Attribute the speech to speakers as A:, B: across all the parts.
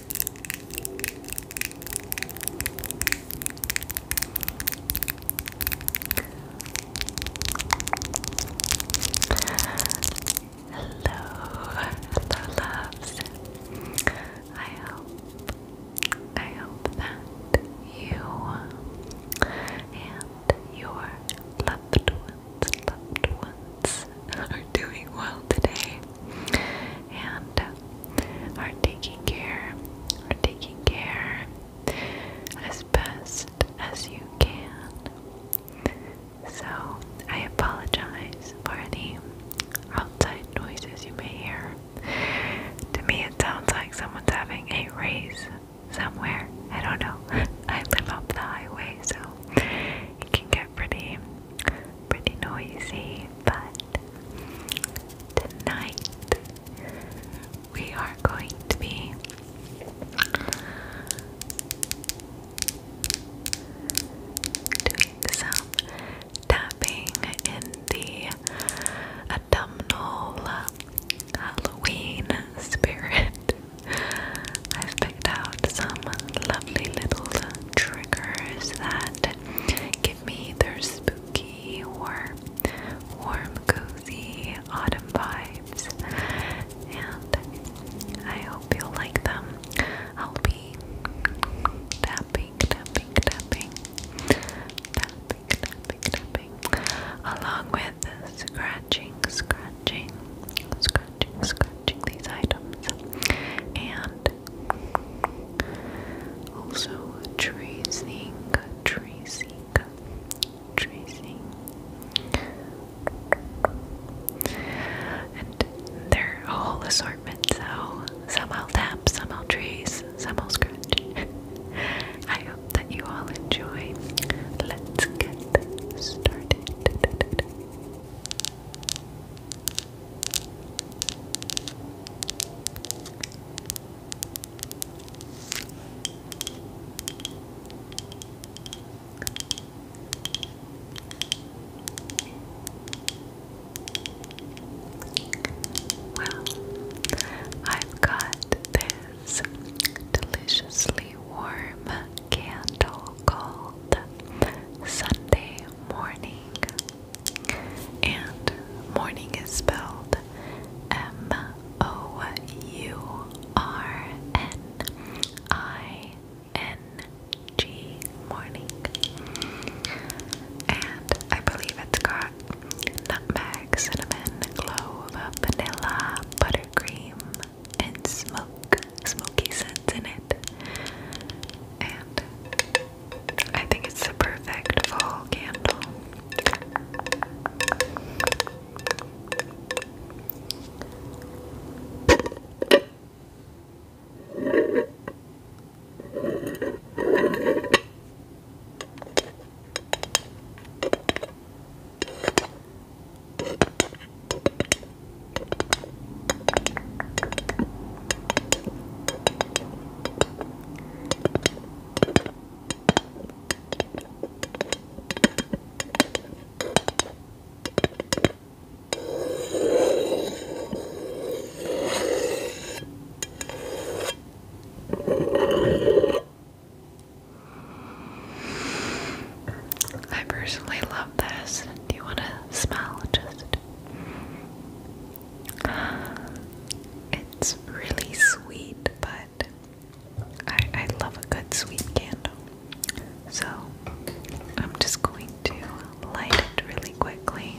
A: hello loves. I hope, I hope that you and your loved ones, loved ones are doing well today and uh, are taking care, are taking care as best as you can. So I apologize for any outside noises you may hear. To me, it sounds like someone's having a race somewhere. I don't know. I live up the highway, so it can pretty, pretty noisy, but tonight we are going to be doing some tapping in the abdominal Halloween spirit. out some lovely little triggers that give me either spooky or warm, cozy autumn vibes. And I hope you'll like them. I'll be tapping, tapping, tapping, tapping, tapping, tapping, along with scratching, scratching, scratching scratching, these items, and also tracing, tracing, tracing. And their whole assortment, so some I'll some I'll some i scratch. I hope that you all enjoy. Let's get started. Well, I've got this deliciously warm candle called Sunday morning. And morning is spelled M O U R N I N G morning. And I believe it's got nutmeg, cinnamon, clove, vanilla, buttercream, and smoke smoky scents in it. And I think it's the perfect fall candle. I personally love this. Do you want to smell just it's really sweet, but I, I love a good sweet candle. So I'm just going to light it really quickly.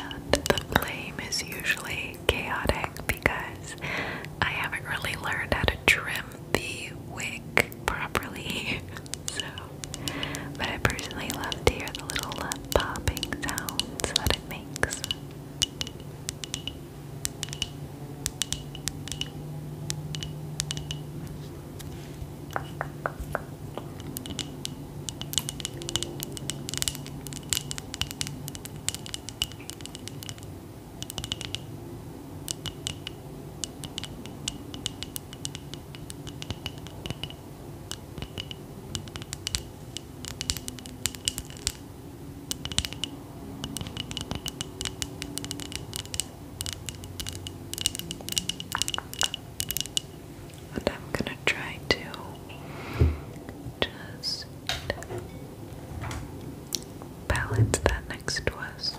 A: And the flame is usually chaotic because I haven't really learned how to trim the wick properly. so, but I personally love to hear the little uh, popping sounds that it makes. And I'm going to try to just balance that next to us.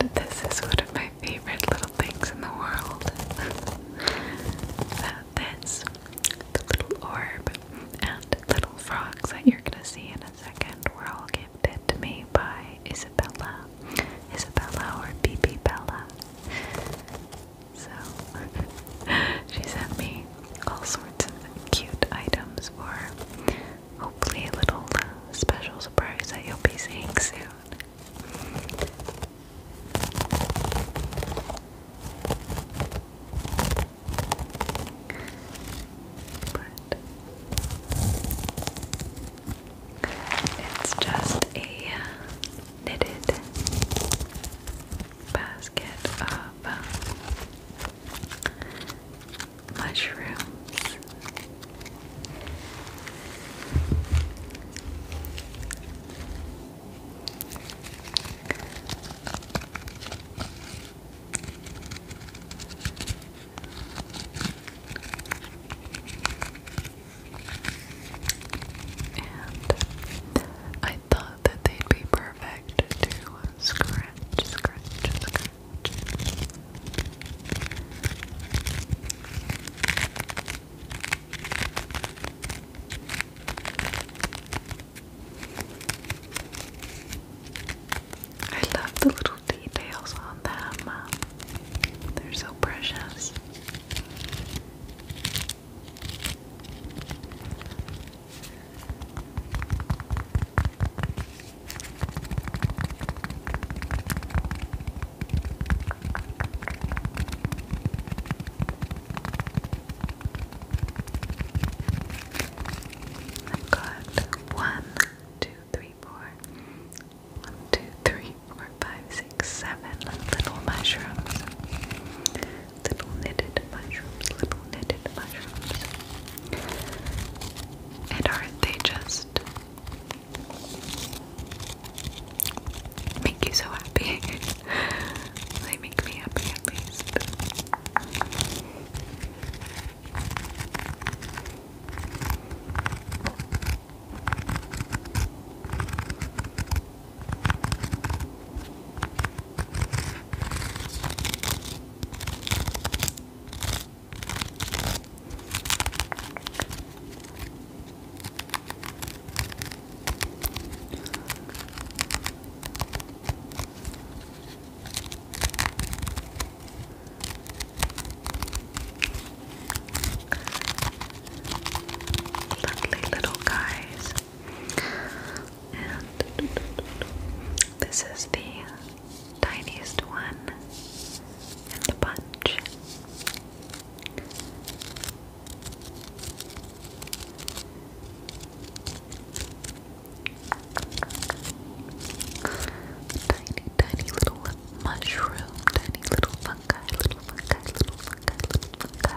A: And this is one of my favorite little things in the world. Uh, this, the little orb, and little frogs that you're gonna see in a second were all gifted to me by Isabella. Isabella or BB Bella. So, she sent me all sorts of cute items or hopefully a little uh, special surprise that you'll be seeing soon. But it's just a uh, knitted basket of uh, mushrooms. And I I thought that they'd be perfect to scratch, scratch, scratch. I love the little details on them. They're so precious. I've one, two, three, four. One, two, three, four, five, six, seven little mushrooms little knitted mushrooms, little knitted mushrooms. And aren't they just make you so happy? they make me happy at least. Lovely little guys. And this is the tiniest one in the bunch. Tiny, tiny little mushroom, tiny little fungi, little fungi, little fungi, little fungi.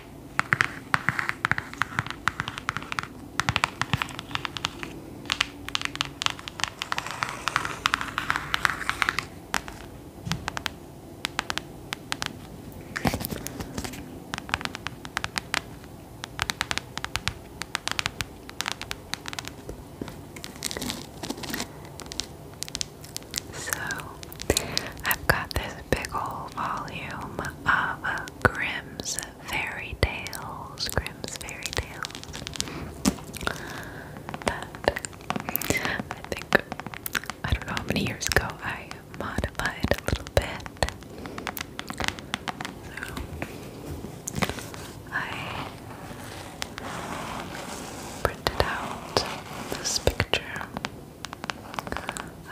A: So, I've got this big old volume of Grimm's fairy tales, Grimm's fairy tales. But I think I don't know how many years ago I modified a little bit. I printed out this picture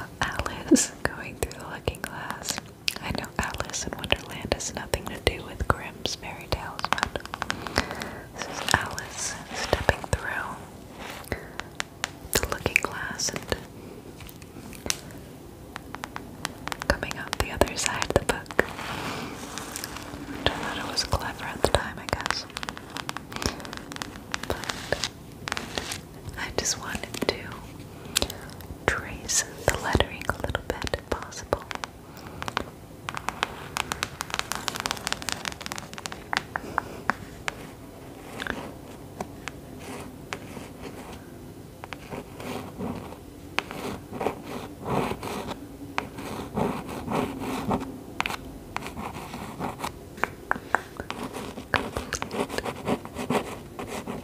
A: of Alice going through the looking glass. I know Alice in Wonderland has nothing to do with Grimm's fairy tales, but this is Alice stepping through the looking glass and coming out the other side of the book. I thought it was clever at the time, I guess. I just wanted to trace the lettering a little bit if possible.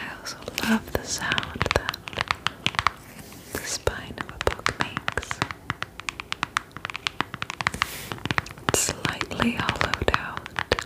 A: I also love the sound that the spine of a book makes. slightly hollowed out.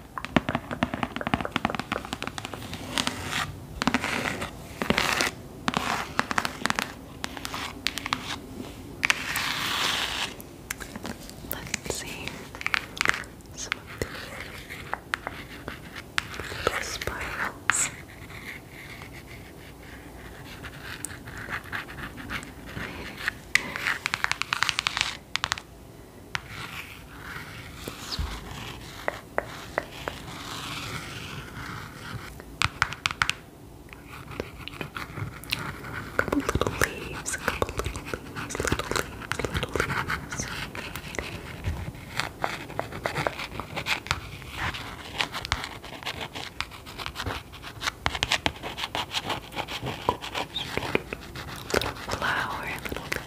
A: Let's see some of the spirals. A couple little leaves, a couple little leaves, little leaves, little leaves. Flower, little bit.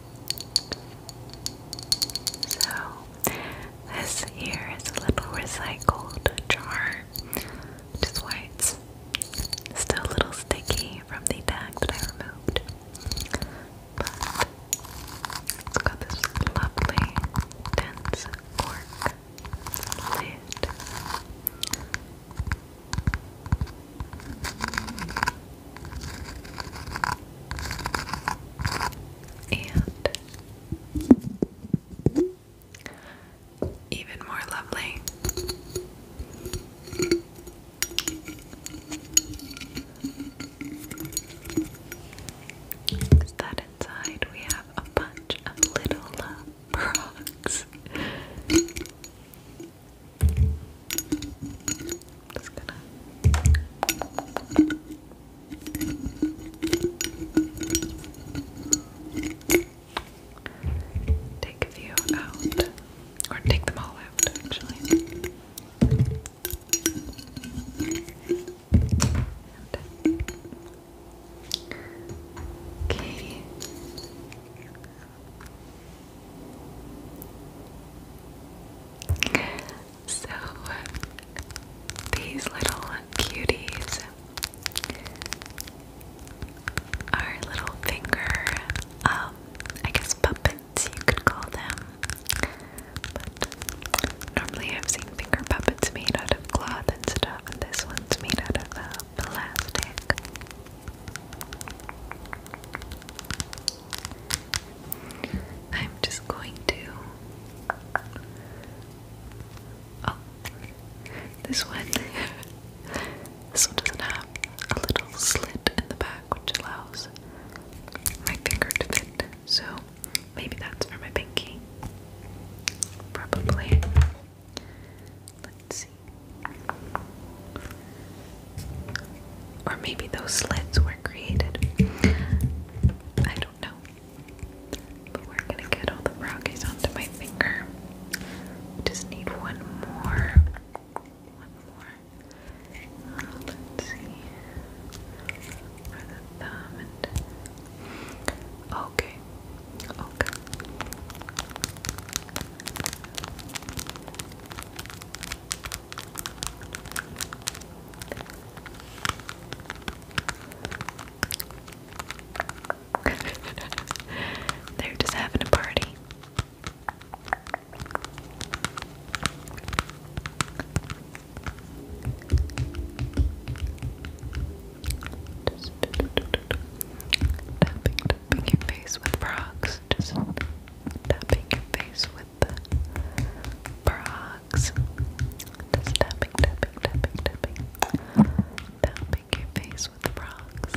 A: So, this here is a little recycled jar, Just is why still a little sticky from the bag that I removed. But it's got this lovely dense cork lid and even more lovely. inside? We have a bunch of little frogs. Uh, just going take a few out, or take them all out actually. okay. So, uh, these little cuties are little finger, um, I guess puppets you could call them. normally I've seen finger puppets made out of cloth and stuff, and this one's made out of uh, plastic. I'm just going to. Oh, this one. this one doesn't have a little slit in the back, which allows my finger to fit. So maybe that's for my pinky. Probably. Let's see. Or maybe those slits were created. I don't know. But we're gonna get all the brownies onto my finger. just need one more. One more. let's see. For the thumb Okay. Okay. They're just having a party. tapping, tapping your face with frogs. Just tapping your face with frogs. Just tapping, tapping, tapping, tapping. Tapping your face with frogs.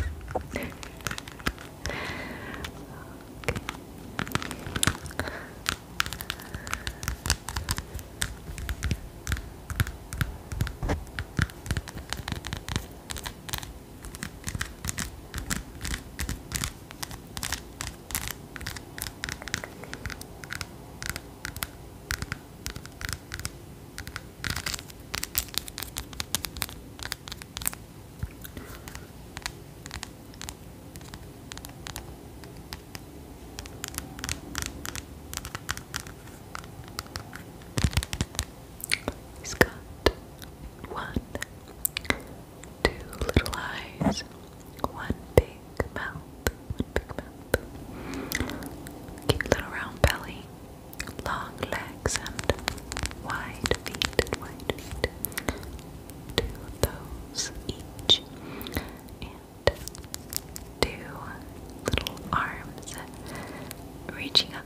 A: He's two little eyes, one big mouth, one big mouth, cute little round belly, long legs, and wide feet, wide feet. Two of those each, and two little arms reaching up.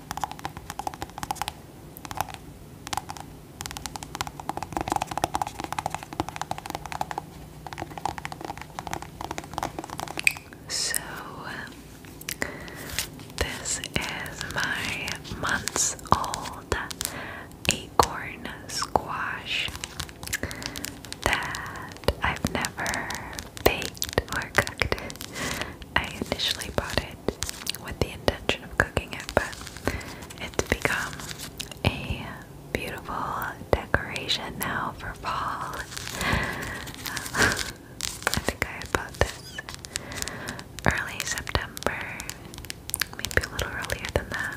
A: So, um, this is my months old acorn squash that I've never baked or cooked. I initially bought it with the intention of cooking it, but it's become a beautiful decoration now for fall. I think I bought this early September, maybe a little earlier than that.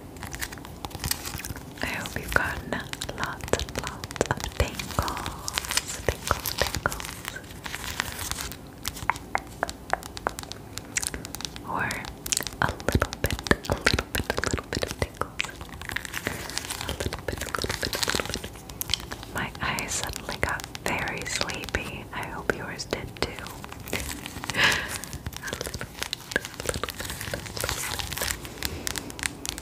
A: I hope you've gotten lots and lots of tingles, tingles, tingles. Or a little bit, a little bit, a little bit of tingles. A little bit, a little bit, a little bit. My eyes suddenly got very sleepy. I hope yours did too. a little bit, a little bit, a little bit.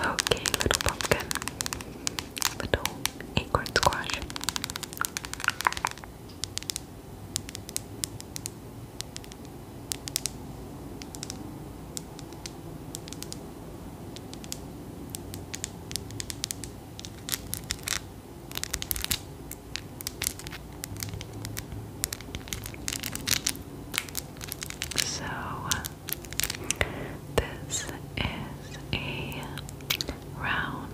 A: Okay, little pumpkin, little acorn squash. So, this is a round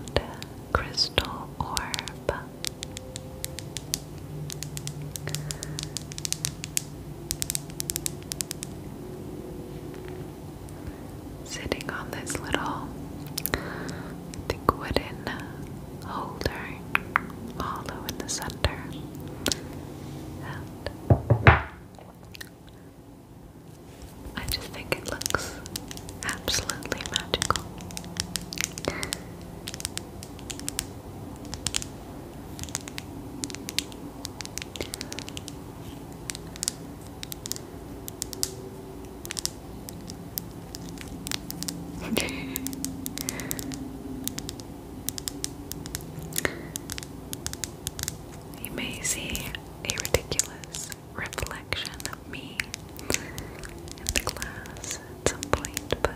A: crystal orb. Sitting on this little, I wooden holder, hollow in the center, I just think it looks absolutely magical. you may see a ridiculous reflection of me in the glass at some point, but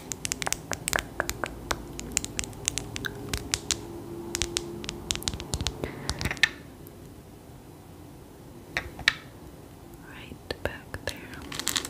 A: Right back there. Okay.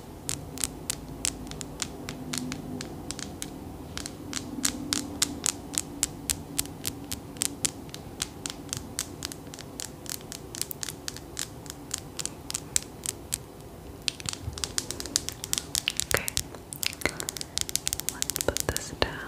A: Okay, let's put this down.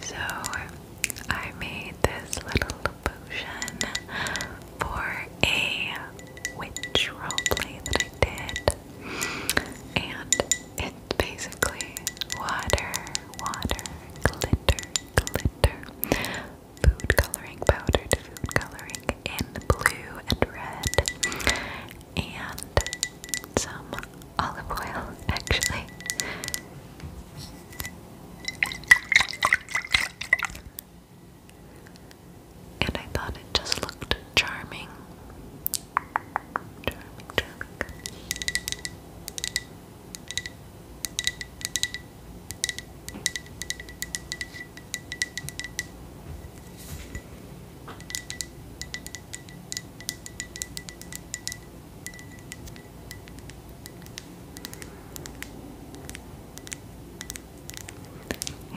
A: So I made this little potion for a witch roleplay that I did, and it's basically water, water, glitter, glitter, food coloring powder food coloring in blue and red, and some olive oil actually. And I thought it just looked charming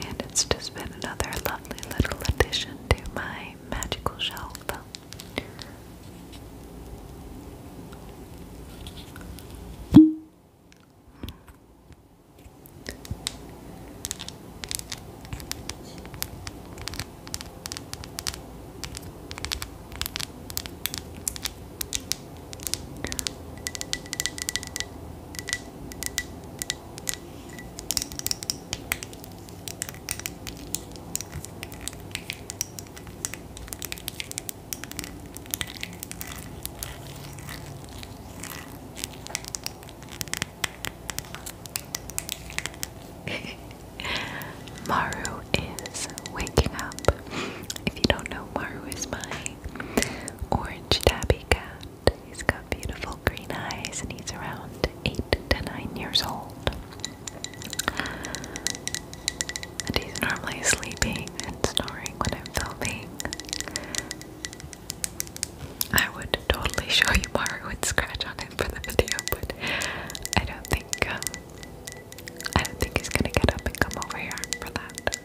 A: and it's just been another lovely little addition to my magical shelf. Maru is waking up. If you don't know, Maru is my orange tabby cat. He's got beautiful green eyes and he's around 8 to 9 years old. And he's normally sleeping and snoring when I'm filming. I would totally show you Mario would scratch on him for the video, but I don't think um, I don't think he's gonna get up and come over here for that.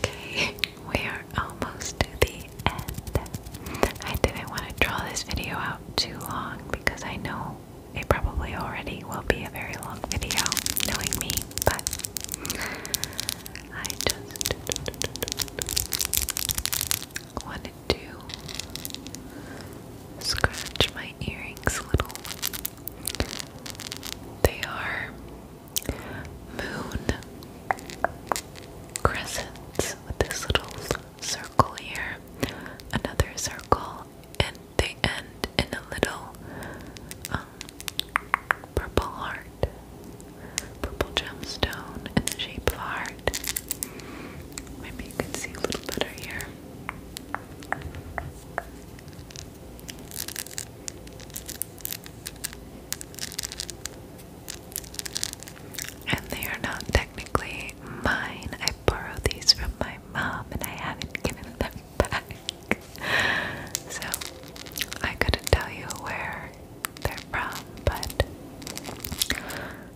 A: Okay, we are almost to the end. I didn't want to draw this video out too long because I know it probably already will be a very long video, knowing me, but I just wanted to scratch my earrings a little. They are moon crescents with this little circle here, another circle, and they end in a little um, purple heart, purple gemstone in the shape of heart. Maybe you can see a little better here. And they are not technically mine. I borrowed these from my mom and I haven't given them back. So I couldn't tell you where they're from, but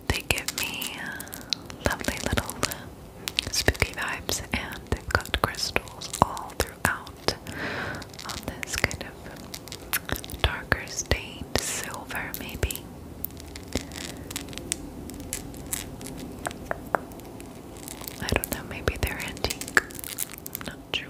A: they give me lovely little spooky vibes, and they've got crystals all throughout on this kind of darker stained silver, maybe. I don't know, maybe they're antique. not sure.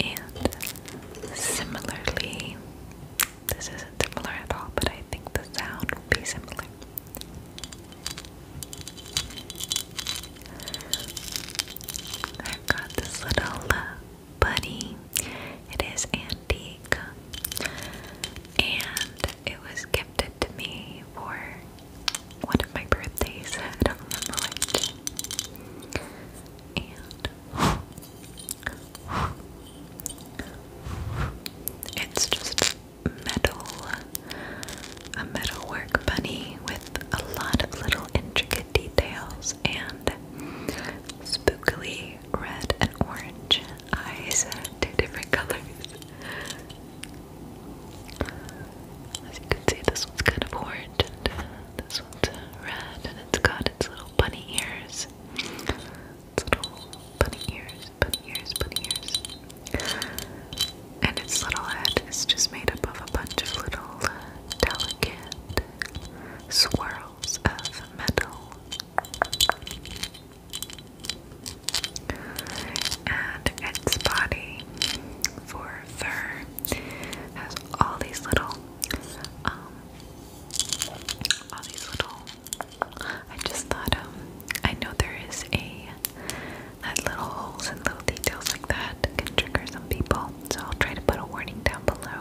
A: And similarly, this isn't similar at all, but I think the sound will be similar. i got this little uh, bunny. It is antique, and it was gifted to me for one of my birthdays. I don't remember which. It's just metal, a metalwork bunny with a lot of little intricate details and spookily red and orange eyes, two different colors. As you can see, this one's kind of orange uh, this one's red and it's got its little bunny ears. Its little bunny ears, bunny ears, bunny ears. And its little head is just made up of a bunch of little uh, delicate swirls of metal. And its body for fur has all these little um, all these little. I just thought, um, I know there is a that little holes and little details like that can trigger some people. So I'll try to put a warning down below.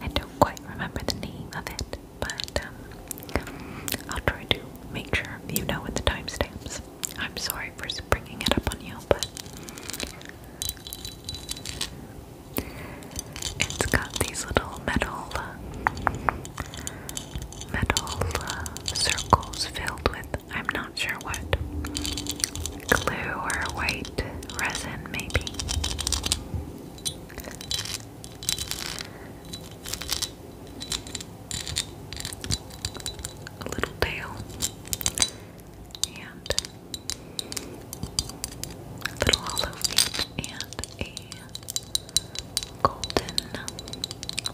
A: I don't quite remember the name of it, but um, I'll try to make sure you know what the timestamps. I'm sorry for bringing it up on you, but it's got these little metal, metal uh, circles filled with, I'm not sure what, glue or white resin, maybe. A little tail and a little hollow feet and a golden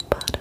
A: bottom.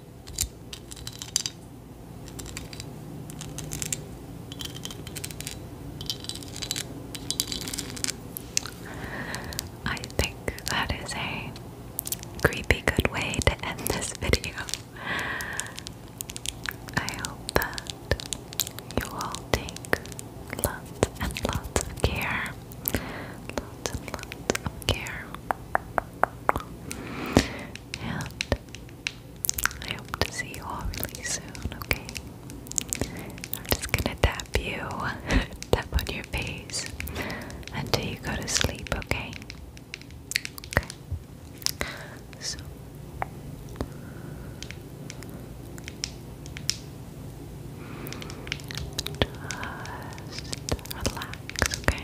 A: I think that is a creepy good way to end this video. I hope that you all take lots and lots of care. Lots lots of care and I hope to see you all really soon, okay? I'm just gonna tap you, tap on your face until you go to sleep, okay? Okay. So just relax, okay?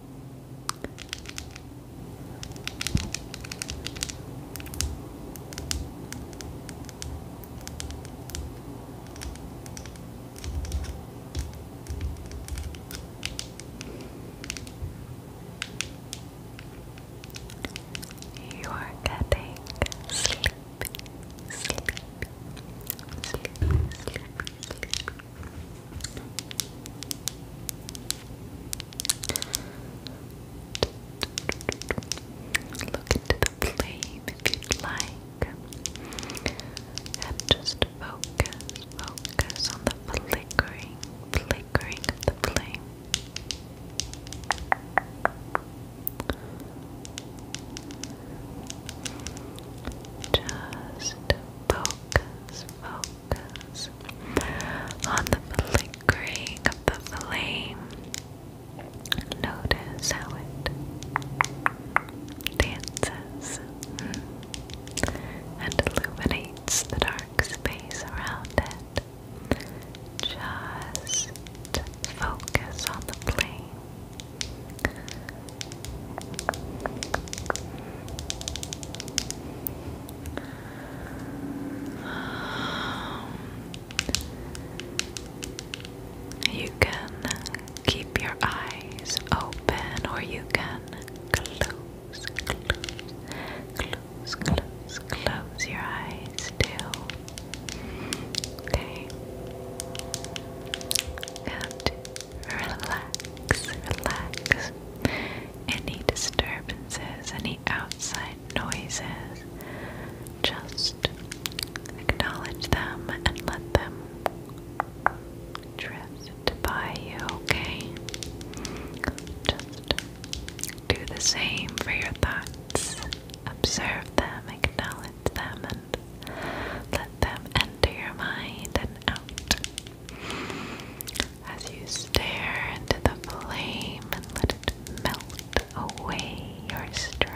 A: You are getting sleepy, Look into the flame if you'd like. And just focus, focus on the flickering, flickering the flame. Just focus, focus, on the flickering of the flame. Notice how it dances and illuminates the dark space around it. Just focus on the flame. You can keep your eyes open or you can close, close, close, close, close your eyes too. Okay. And relax, relax any disturbances, any outside noises. Just acknowledge them and let them drift by you, okay? Just do the same for your thoughts. Observe them, acknowledge them, and let them enter your mind and out. As you stare into the flame and let it melt away your stress.